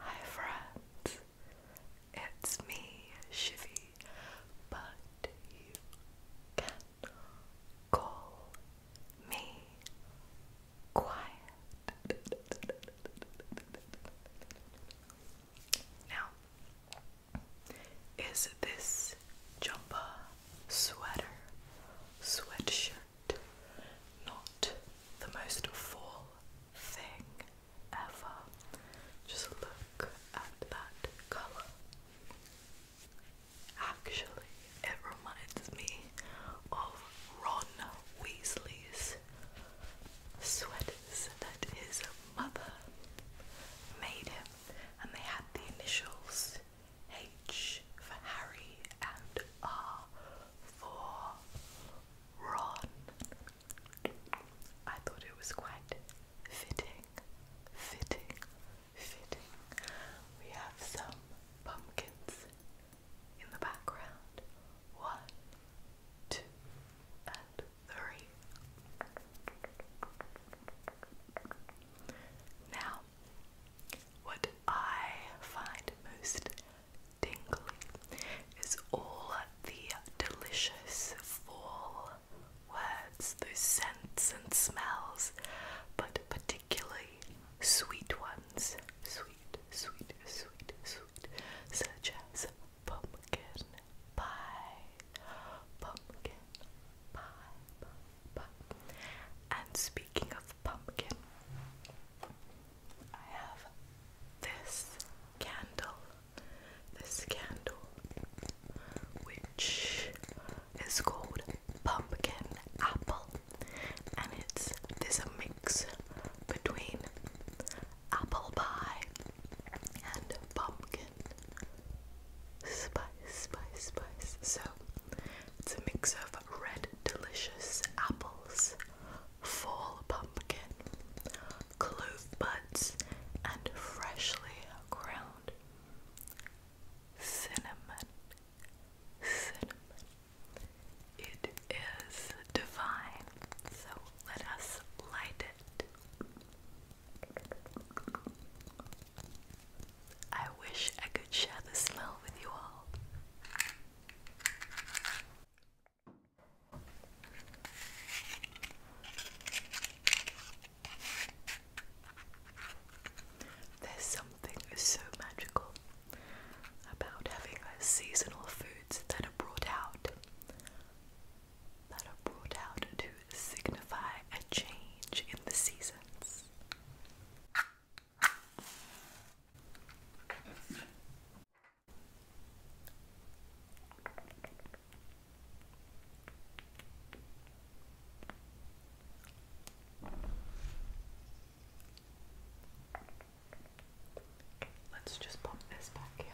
Hi friends, it's me, Shivie but you can call me quiet. Now, is this jumper, sweater, sweatshirt not the most fall thing ever? Just look at that color. Actually, it reminds me of Ron Weasley's sweaters that his mother made him, and they had the initials H for Harry and R for Ron. I thought it was quite fitting fitting, fitting. We have some pumpkins in the background. One, two, and three. Now, what I find most tingly is all the delicious fall words, those scents and smells, but particularly sweet ones. Sweet, sweet, sweet, sweet, such as pumpkin pie, pumpkin pie, pie, And speaking of pumpkin, I have this candle this candle, which is called Pumpkin Apple, and it's there's a mix between apple pie and pumpkin spice, spice, spice. So it's a mix of red delicious apples, fall pumpkin, clove buds, and freshly ground cinnamon, cinnamon. It is divine, so let us light it. I wish I could share the smell with you all. There's something so magical about having seasonal foods that are brought out that are brought out to signify a change in the seasons. Let's just pop this back here.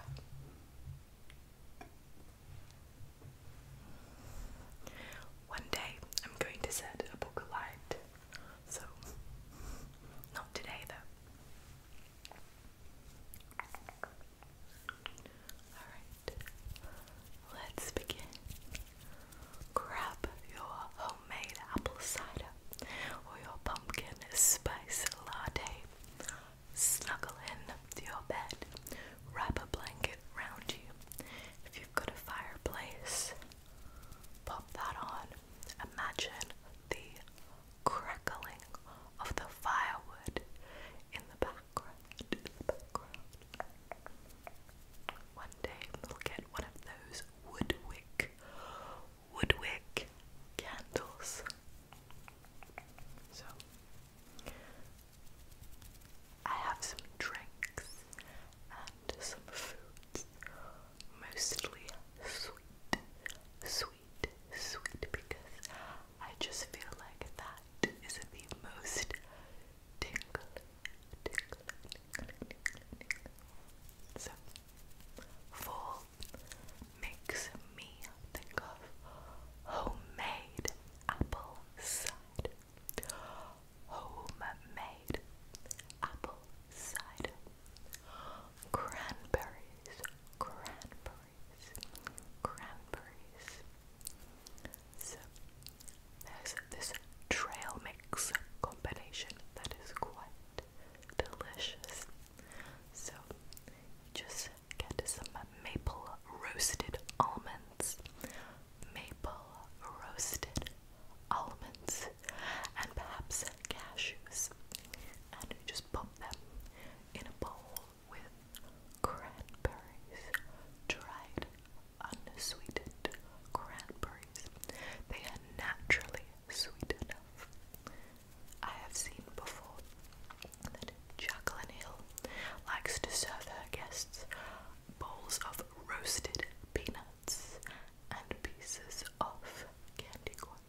One day I'm going to set a book alight, so not today though. Alright, let's begin. Grab your homemade apple cider or your pumpkin spice latte. Snuggle in your bed. Wrap a blanket round you. If you've got a fireplace, pop that on. Imagine the crackling of the firewood in the background. One day we'll get one of those woodwick, woodwick candles. So, I have some drinks and some foods, mostly sweet, sweet, sweet, because I just feel like that is the most tingly, tingly, tingly, tingly, tingly. So, fall makes me think of homemade apple cider. Homemade apple cider. Cranberries, cranberries, cranberries. So there's this trail mix combination that is quite delicious. So you just get some maple roasted almonds, maple roasted almonds, and perhaps cashews, and you just pop them in a bowl with cranberries, dried, unsweetened cranberries. They are naturally sweet enough. I have seen before that Jacqueline Hill likes to serve her guests bowls of roasted peanuts and pieces of candy corn.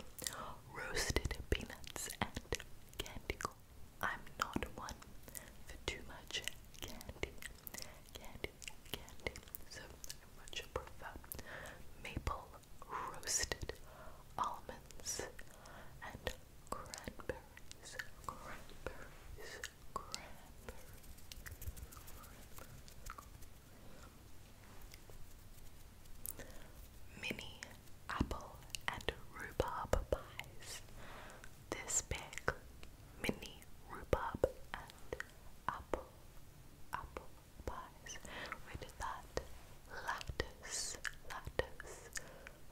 Roasted peanuts and candy corn. I'm not one for too much candy, candy, candy. So I much prefer maple roasted almonds and cranberries, cranberries, cranberries. Mini apple and rhubarb pies this big mini rhubarb and apple apple pies. We that lattice, lattice,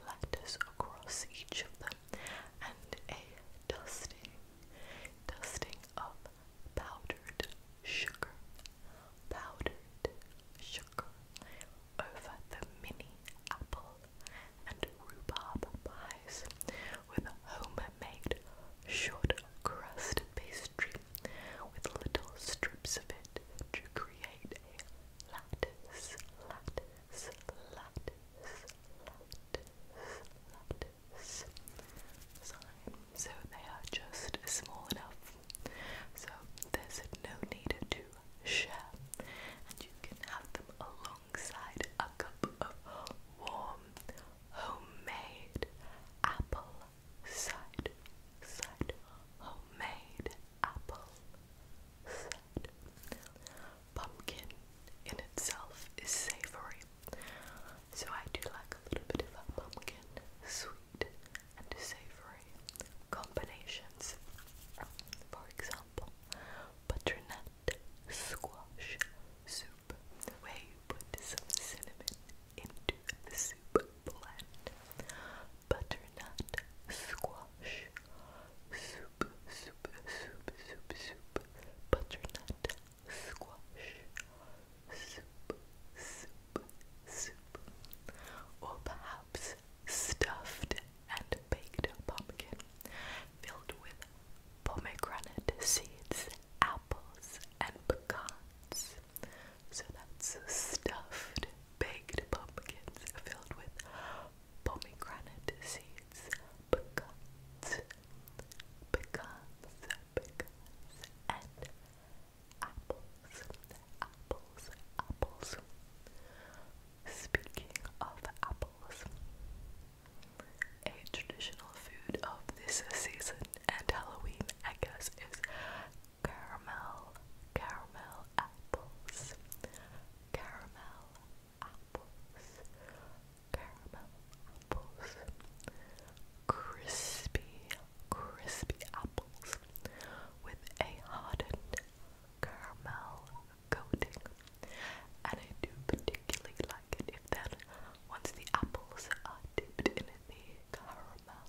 lattice across each of them, and a dusting, dusting of powdered sugar, powdered sugar, over the mini apple and rhubarb pies with homemade short crust pastry with little strips of it to create a lattice, lattice, lattice, lattice, sign. So they are just small enough. So there's no need to share, and you can have them alone alongside a cup of warm homemade apple cider. Cider. Homemade apple cider. Pumpkin in itself is savory, so I do like a little bit of a pumpkin sweet and savory combinations. For example, butternut squash soup, where you put some cinnamon into the soup Butternut squash soup, soup, soup, soup, soup, butternut squash soup, soup, soup, or perhaps stuffed and baked pumpkin filled with pomegranate seeds, apples, and pecans. So that's stuffed baked pumpkins filled with pomegranate seeds, pecans, pecans, pecans, and apples, apples, apples. Speaking of apples, a traditional food of this season and Halloween, I guess, is caramel, caramel apples, caramel apples, caramel apples, crispy, crispy apples with a hardened caramel coating, and I do particularly like it if then once the apples are dipped in the caramel,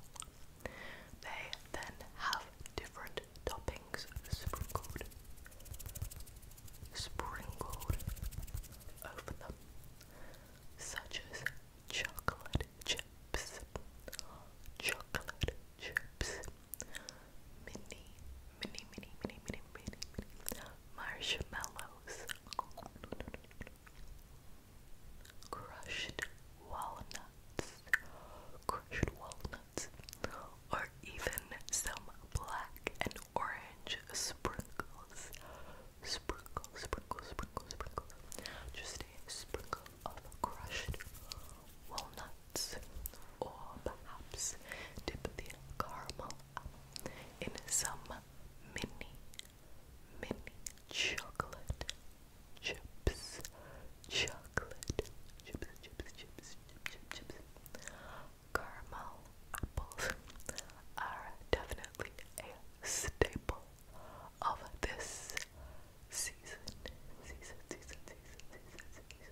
they then have different toppings sprinkled, sprinkled over them, such as chocolate chips, chocolate chips, mini, mini, mini, mini, mini, mini, mini marshmallows, crushed walnuts, crushed walnuts, or even some black and orange sprinkles. Sprinkle, sprinkle, sprinkle, sprinkle. Just a sprinkle of crushed walnuts or perhaps dip the caramel in some mini, mini chocolate chips, chocolate chips, chips, chips, chips, chips. Caramel apples are definitely a staple of this season. Season, season, season, season, season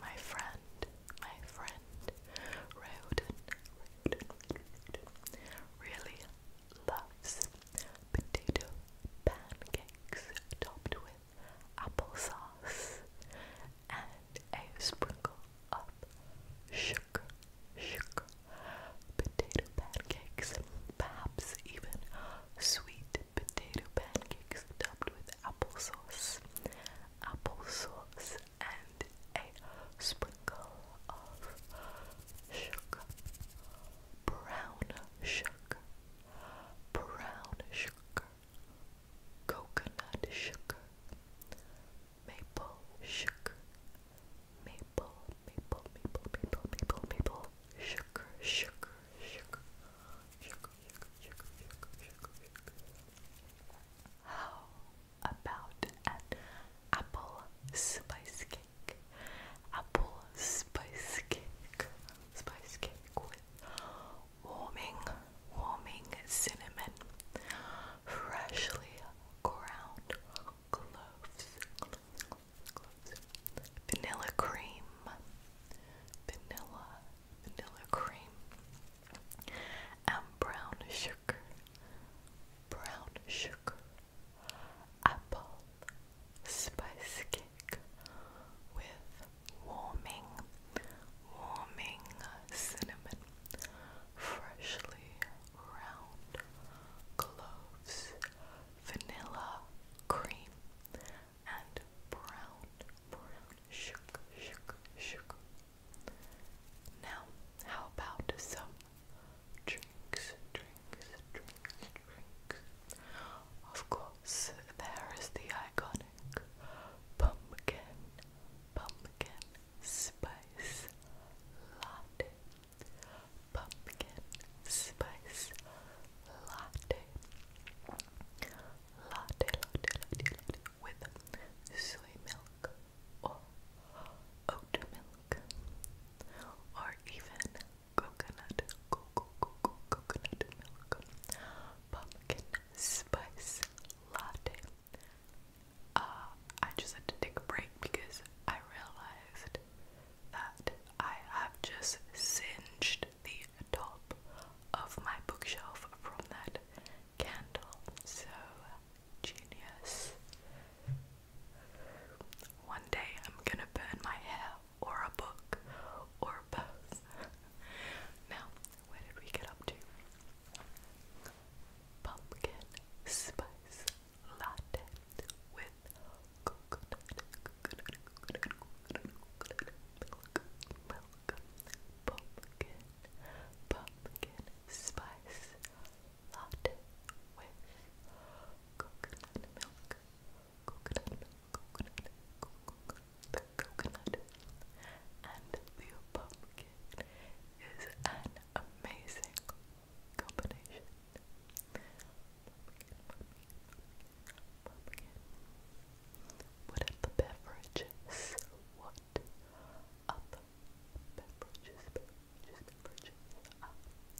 my friend, my friend, Roden, really loves potato pancakes topped with applesauce and a sprinkle of sugar, sugar, potato pancakes, perhaps even sweet potato pancakes pancakes topped with applesauce, applesauce, and a sprinkle of sugar, brown sugar, brown sugar, coconut sugar, maple sugar, maple, maple, maple, maple, maple, maple, sugar, sugar, sugar, sugar. How about an apple spice cake? Apple spice cake. Spice cake with warming, warming cinnamon, freshly ground cloves, vanilla cream, vanilla vanilla cream, and brown sugar, brown sugar, apple spice cake with warming, warming cinnamon, freshly round cloves, vanilla cream, and brown, brown, shook, shook, shook. Now, how about some drinks, drinks, drinks, drinks? Of course, there is the iconic pumpkin, pumpkin spice latte, pumpkin spice latte latte, latte, latte, latte with soy milk or oat milk or even coconut, co co co co coconut milk, pumpkin spice latte. Uh, I just had to take a break because I realized that I have just singed the top of my bookshelf from that candle. So genius. One day I'm gonna burn my hair or a book or both. now, where did we get up to? Pumpkin spice latte with coconut milk, pumpkin, pumpkin spice latte with coconut milk, coconut coconut, coconut, and the pumpkin is an amazing combination. What other beverages? What other beverages? Beverages,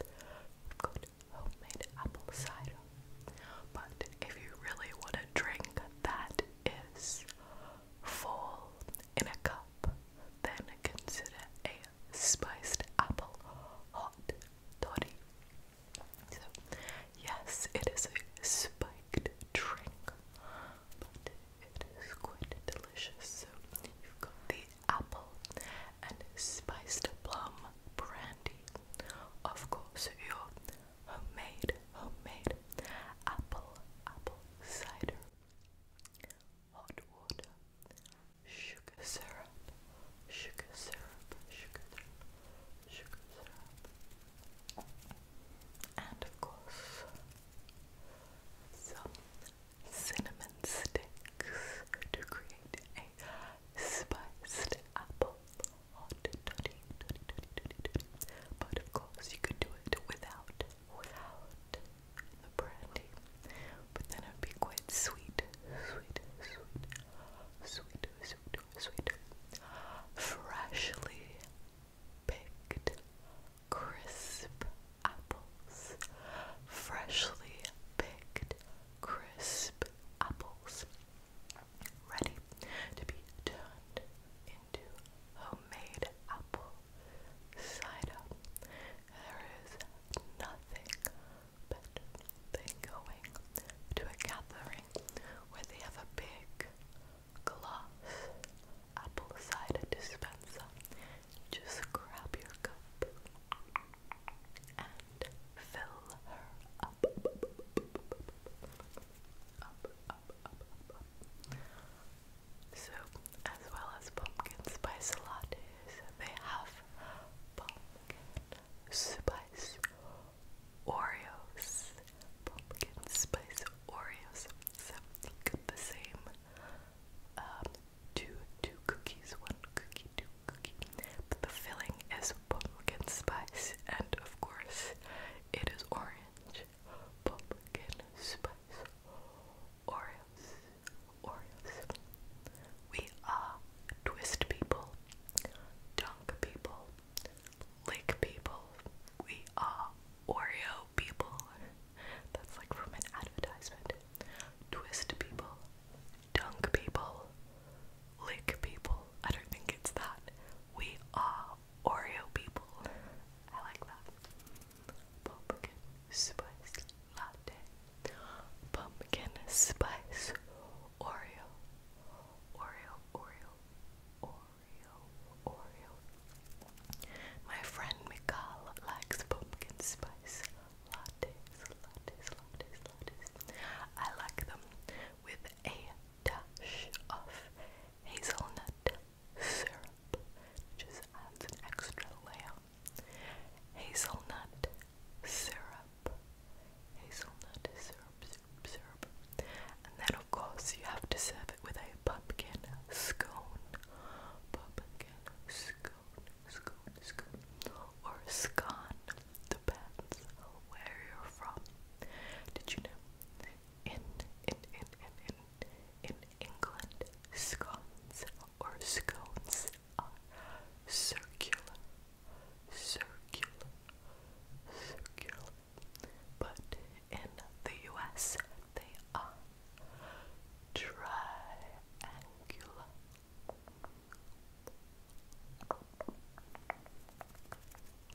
have got homemade apple cider. But if you really want a drink that is full in a cup, then consider a spiced apple hot toddy. So, yes, it is a spiked drink, but it is quite delicious. So, you've got the apple and spiced plum brandy. Of course, your homemade, homemade apple, apple cider, hot water, sugar syrup, sugar syrup, sugar syrup, sugar syrup and of course some cinnamon sticks to create a spiced apple But of course, you could do it without, without the brandy. But then it would be quite sweet, freshly picked crisp apples, freshly picked crisp apples, ready to be turned into homemade apple cider. There is nothing better then going to a gathering where they have a big glass apple cider dispenser. Just grab your cup and fill her up. Up, up, up, up, up, up. So, as well as pumpkin spice lattes, they have pumpkin spice Oreos, pumpkin spice Oreos. So the same um, two two cookies, one cookie, two cookie. But the filling is pumpkin spice, and of course, it is orange. Pumpkin spice Oreos, Oreos. We are twist people, dunk people, lick people. We are Oreo people. That's like from an advertisement. Twist people, dunk people, lick people. I don't think it's that. We are Oreo people. I like that. Pumpkin spice latte. Pumpkin spice Oreo, Oreo, Oreo, Oreo, Oreo. My friend Mikal likes pumpkin spice lattes, I like them with a dash of hazelnut syrup, just adds an extra layer. Hazelnut syrup, hazelnut syrup, syrup. And then, of course, you have to serve it with a pumpkin scone. Pumpkin scone, scone, scone. Or scone, depends where you're from. Did you know? In, in, in, in, in, in England, scones or scones are circular, circular, circular, but in the US they are triangular.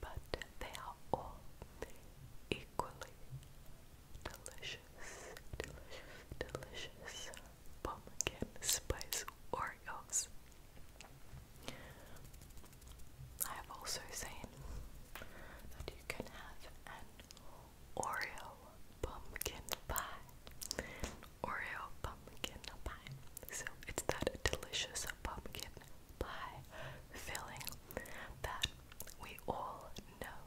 But they are all equally delicious, delicious, delicious pumpkin spice Oreos. I have also seen that you can have an Oreo pumpkin pie. Oreo pumpkin pie. So it's that delicious pumpkin pie filling that we all know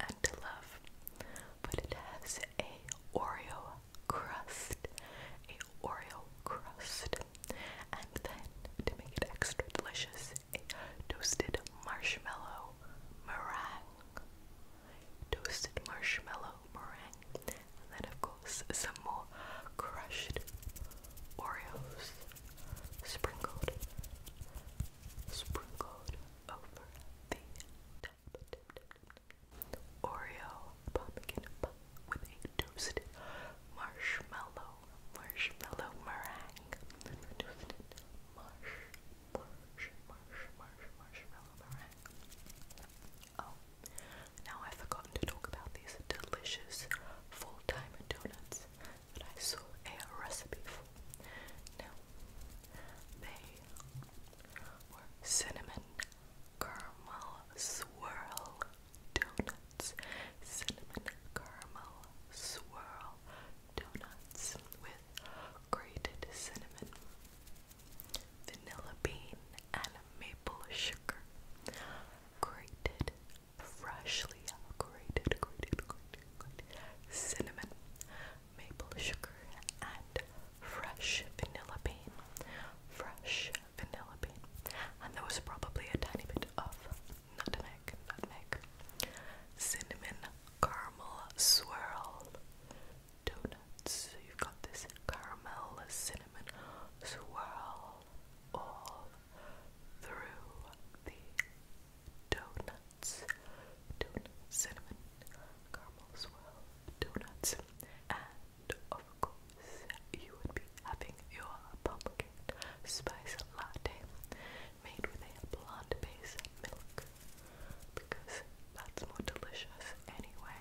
and love. But it has a Oreo crust. A Oreo crust. And then, to make it extra delicious, a toasted marshmallow meringue. Toasted marshmallow meringue. And then, of course, some more crushed Oreos sprinkled, sprinkled over the top. Oreo pumpkin with a toasted marshmallow, marshmallow meringue. Toasted marsh, marsh, marsh, marsh, marshmallow meringue. Oh, now I've forgotten to talk about these delicious full-time donuts that I saw a recipe for. Now, they were cinnamon caramel swirl donuts, cinnamon caramel swirl donuts with grated cinnamon, vanilla bean and maple sugar, grated, freshly grated, grated, grated, grated cinnamon, maple sugar and fresh vanilla bean, fresh Penelope. And there was probably a tiny bit of nutmeg, nutmeg, cinnamon, caramel swirl, donuts. you've got this caramel, cinnamon swirl all through the donuts. Donut, cinnamon, caramel swirl, donuts of course, you would be having your pumpkin spice latte made with a blonde base milk because that's more delicious anyway.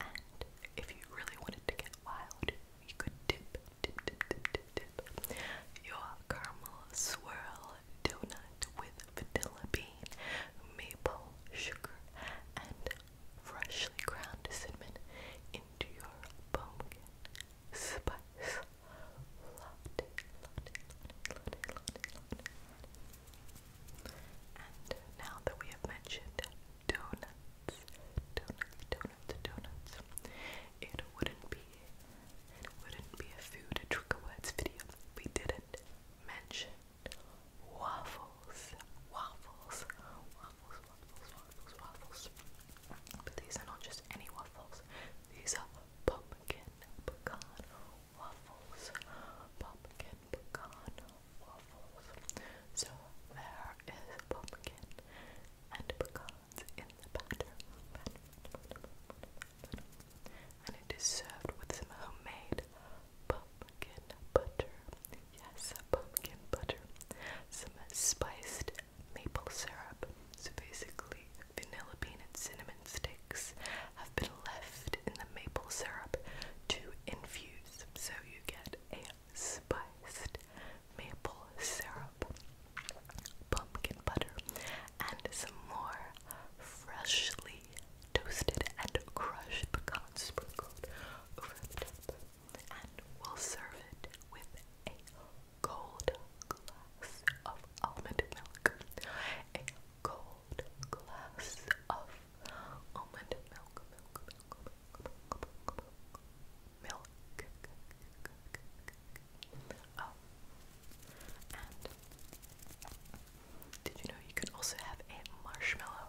And if you really wanted to get wild, you could dip, dip, dip, dip, dip, dip your caramel swirl donut with vanilla bean, maple sugar, and freshly ground cinnamon into your pumpkin spice latte, And now that we have mentioned donuts, donuts, donuts, donuts, it wouldn't be wouldn't be a food trick words video. We didn't mention waffles, waffles, waffles, waffles, waffles, waffles. But these are not just any waffles. These are pumpkin pecan waffles. Pumpkin pecan waffles. So there is pumpkin and pecans in the batter. And it is served with some homemade pumpkin butter. Yes, pumpkin butter. Some spiced maple syrup. So basically, vanilla bean and cinnamon sticks have been left in the maple syrup to infuse. So you get a spiced maple syrup, pumpkin butter, and some more freshly toasted and crushed pecans sprinkled over the top, and we'll serve it with a cold glass of almond milk. A cold glass of almond milk, milk, milk, milk, milk, milk, milk, milk. Oh, did you know you can also have a marshmallow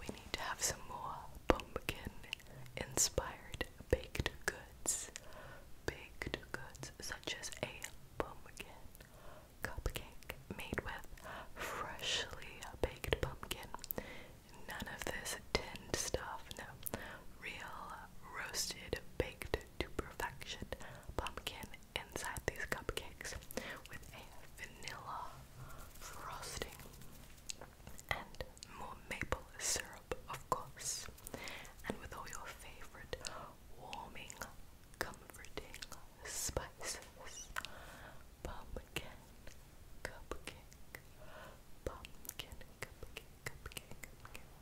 we need to have some more pumpkin inspired baked goods. Baked goods such as a pumpkin cupcake made with freshly baked pumpkin. None of this tinned stuff, no. Real roasted, baked to perfection pumpkin inside these cupcakes with a vanilla frosting, and more maple syrup, of course, and with all your favorite warming, comforting spices pumpkin, cupcake, pumpkin, cupcake, cupcake, cupcake,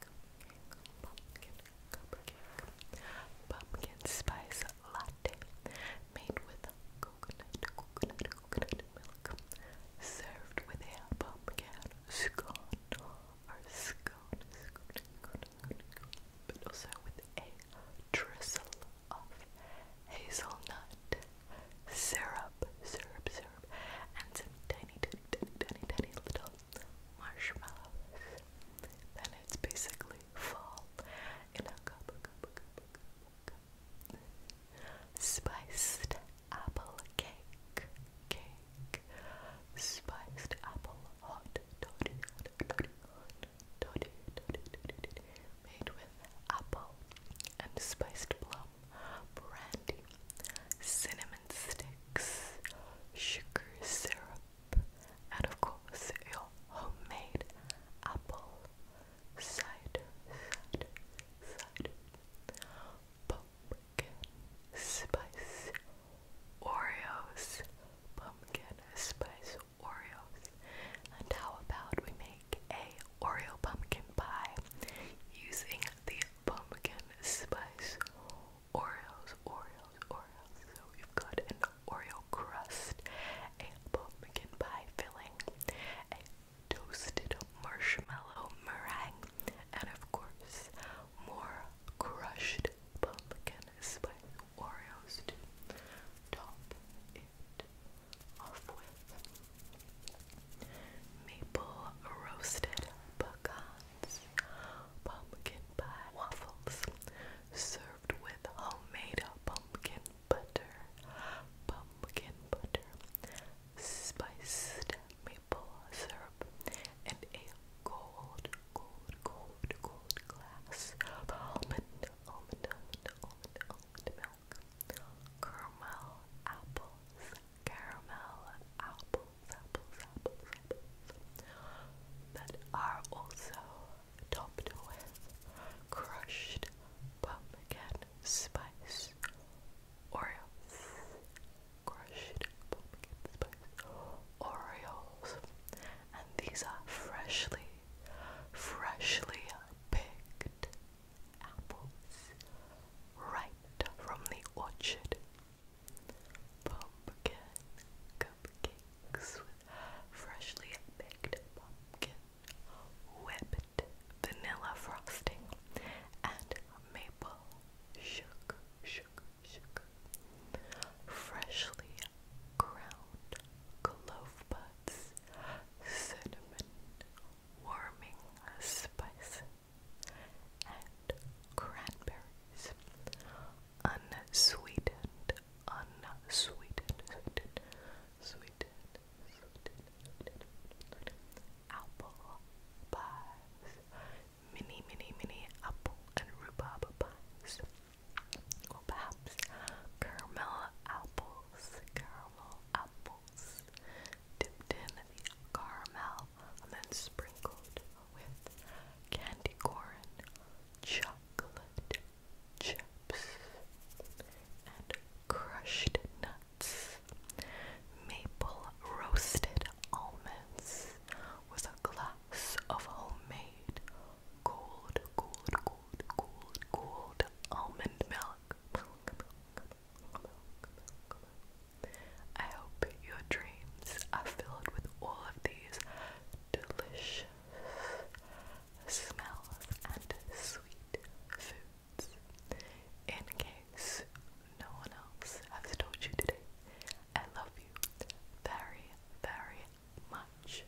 cupcake, pumpkin, cupcake, pumpkin spice latte made with served with a pumpkin scone or scone, scone, scone, scone, scone, but also with a drizzle of hazelnut syrup, syrup, syrup, and some tiny, tiny, tiny, tiny, little marshmallows. Then it's basically fall in a cup. Spiced apple cake, cake, spiced apple hot toddy, toddy, toddy, toddy, made with apple and spiced plum, brandy, cinnamon sticks, sugar syrup, and of course your homemade apple side, side, side, pumpkin spice Oreos, pumpkin spice Oreos, and how about we make a Oreo pumpkin pie using the pumpkin spice Oreos, Oreos, Oreos. So we've got an Oreo crust, pumpkin pie filling, a toasted marshmallow meringue, and of course, more crushed pumpkin spice Oreos to top it off with. Maple roasted pecans, pumpkin pie waffles, served with homemade pumpkin butter, pumpkin butter, spiced maple syrup, and a gold, gold, gold, gold glass of almond, almond, almond, almond, almond milk, caramel apples, caramel apples, apples, apples, apples, that are also topped with crushed pumpkin spice Oreos. Crushed pumpkin spice Oreos. And these are freshly, freshly picked apples right from the orchard. Pumpkin cupcakes with freshly baked pumpkin whipped vanilla frosting, and maple sugar, sugar, sugar. Freshly ground clove buds, cinnamon, warming spices, and cranberries. Unsweetened, unsweetened, sweetened, apple pies, mini, mini, mini apple and rhubarb pies, perhaps caramel apples, caramel apples, dipped in the caramel and then sprinkled with candy corn, chocolate, chips, and crushed nuts. Maple roasted almonds with a glass of homemade gold, gold, gold, gold, gold almond milk. Milk, milk, milk, milk, milk. I hope your dreams are filled with all of these delicious smells, and sweet foods. In case no one else has told you today, I love you very, very much.